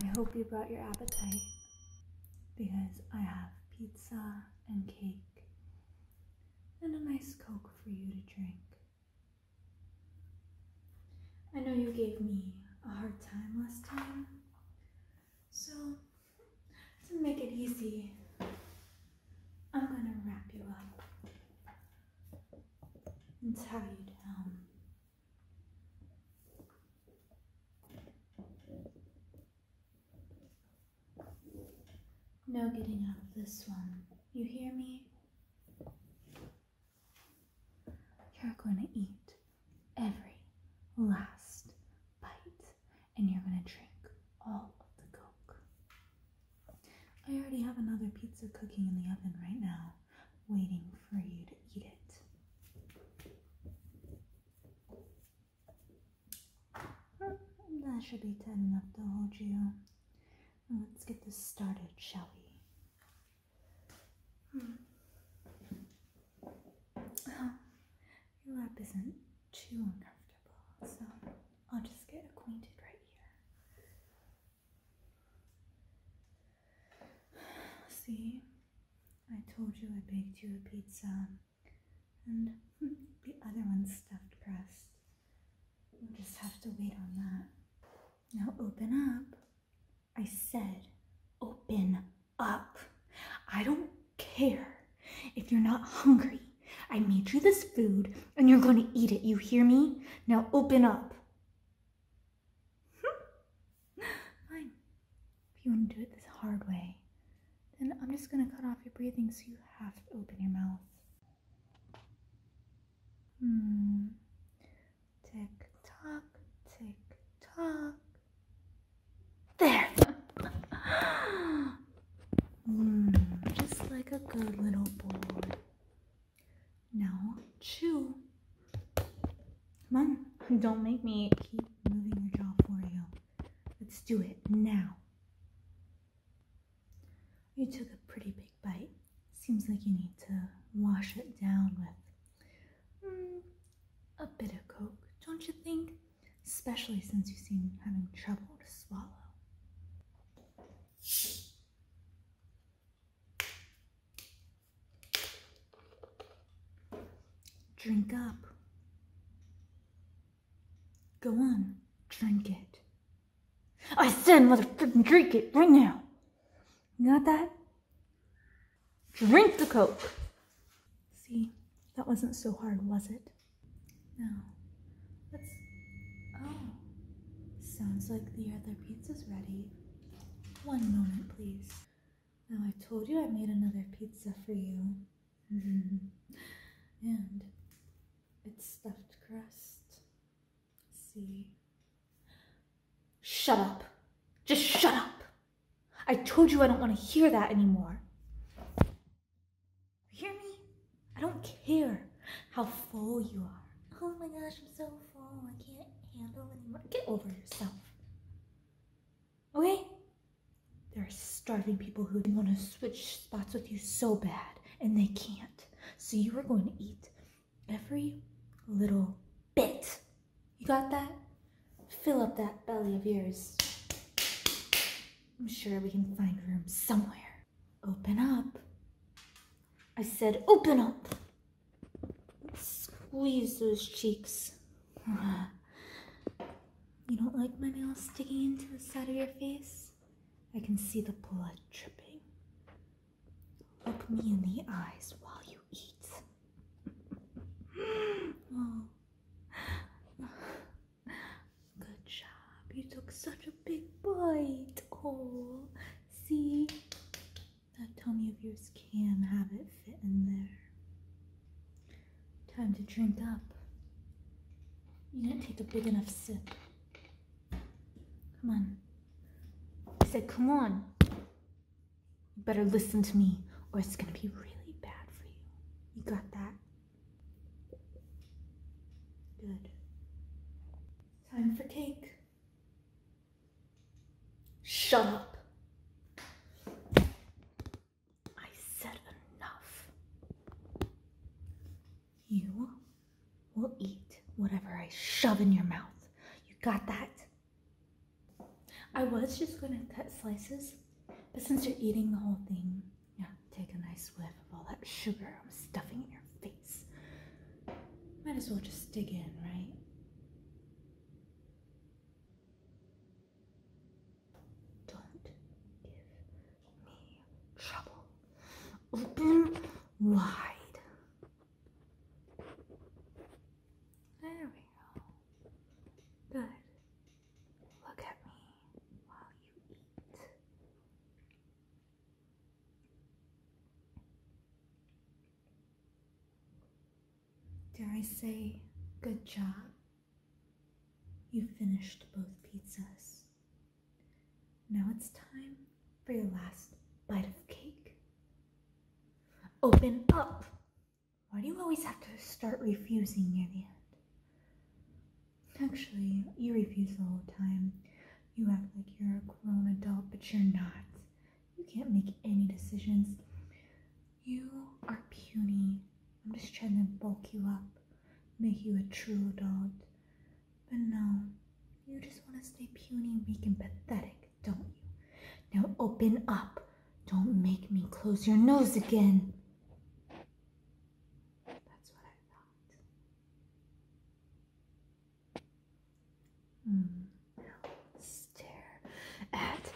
I hope you brought your appetite because I have pizza and cake and a nice Coke for you to drink. I know you gave me a hard time last time, so to make it easy, I'm going to wrap you up and tie you down. Um, no getting out of this one. You hear me? You're going to eat every last bite and you're going to drink all of the Coke. I already have another pizza cooking in the oven right now, waiting for you to eat it. That should be tight enough to hold you. Let's get this started, shall we? Hmm. Oh, your lap isn't too uncomfortable. So I'll just get acquainted right here. See, I told you I baked you a pizza and the other one's stuffed crust. we just have to wait on that. Now open up. I said, open up. I don't care if you're not hungry. I made you this food and you're going to eat it, you hear me? Now open up. Hmm. Fine. If you want to do it this hard way, then I'm just going to cut off your breathing so you have to open your mouth. Hmm. Tick tock, tick tock. There! mm, just like a good little boy. Now chew. Come on, don't make me keep moving your jaw for you. Let's do it now. You took a pretty big bite. Seems like you need to wash it down with mm, a bit of Coke, don't you think? Especially since you seem having trouble to swallow. Drink up. Go on, drink it. I said, motherfucking drink it right now. You got that? Drink the Coke. See, that wasn't so hard, was it? No, that's. Oh, sounds like the other pizza's ready. One moment, please. Now, I told you I made another pizza for you. and it's stuffed crust. See? Shut up. Just shut up. I told you I don't want to hear that anymore. You hear me? I don't care how full you are. Oh my gosh, I'm so full. I can't handle anymore. Get over yourself. Okay? There are starving people who want to switch spots with you so bad, and they can't. So you are going to eat every little bit. You got that? Fill up that belly of yours. I'm sure we can find room somewhere. Open up. I said, open up. Squeeze those cheeks. you don't like my nails sticking into the side of your face? I can see the blood dripping. Look me in the eyes while you eat. Oh. Good job. You took such a big bite. Oh, see? That tummy of yours can have it fit in there. Time to drink up. You didn't take a big enough sip. Come on. I said, come on. You better listen to me, or it's gonna be really bad for you. You got that? Good. Time for cake. Shut up. I said enough. You will eat whatever I shove in your mouth. You got that? I was just gonna cut slices, but since you're eating the whole thing, yeah, Take a nice whiff of all that sugar I'm stuffing in your face. Might as well just dig in, right? Don't give me trouble. Open wide. There we go. Good. Look at me while you eat. Dare I say, good job? You finished both pizzas. Now it's time for your last bite of cake. Open up! Why do you always have to start refusing near the end? Actually, you refuse all the time. You act like you're a grown adult, but you're not. You can't make any decisions. You are puny. I'm just trying to bulk you up, make you a true adult. But no, you just want to stay puny, weak, and pathetic, don't you? Now open up. Don't make me close your nose again. That's what I thought. Mm. Now stare at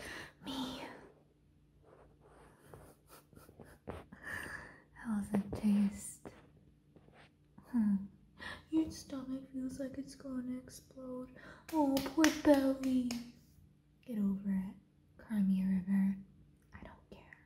me. How's it taste? Hmm. Your stomach feels like it's going to explode. Oh, poor belly. Get over it. Crimea River. I don't care.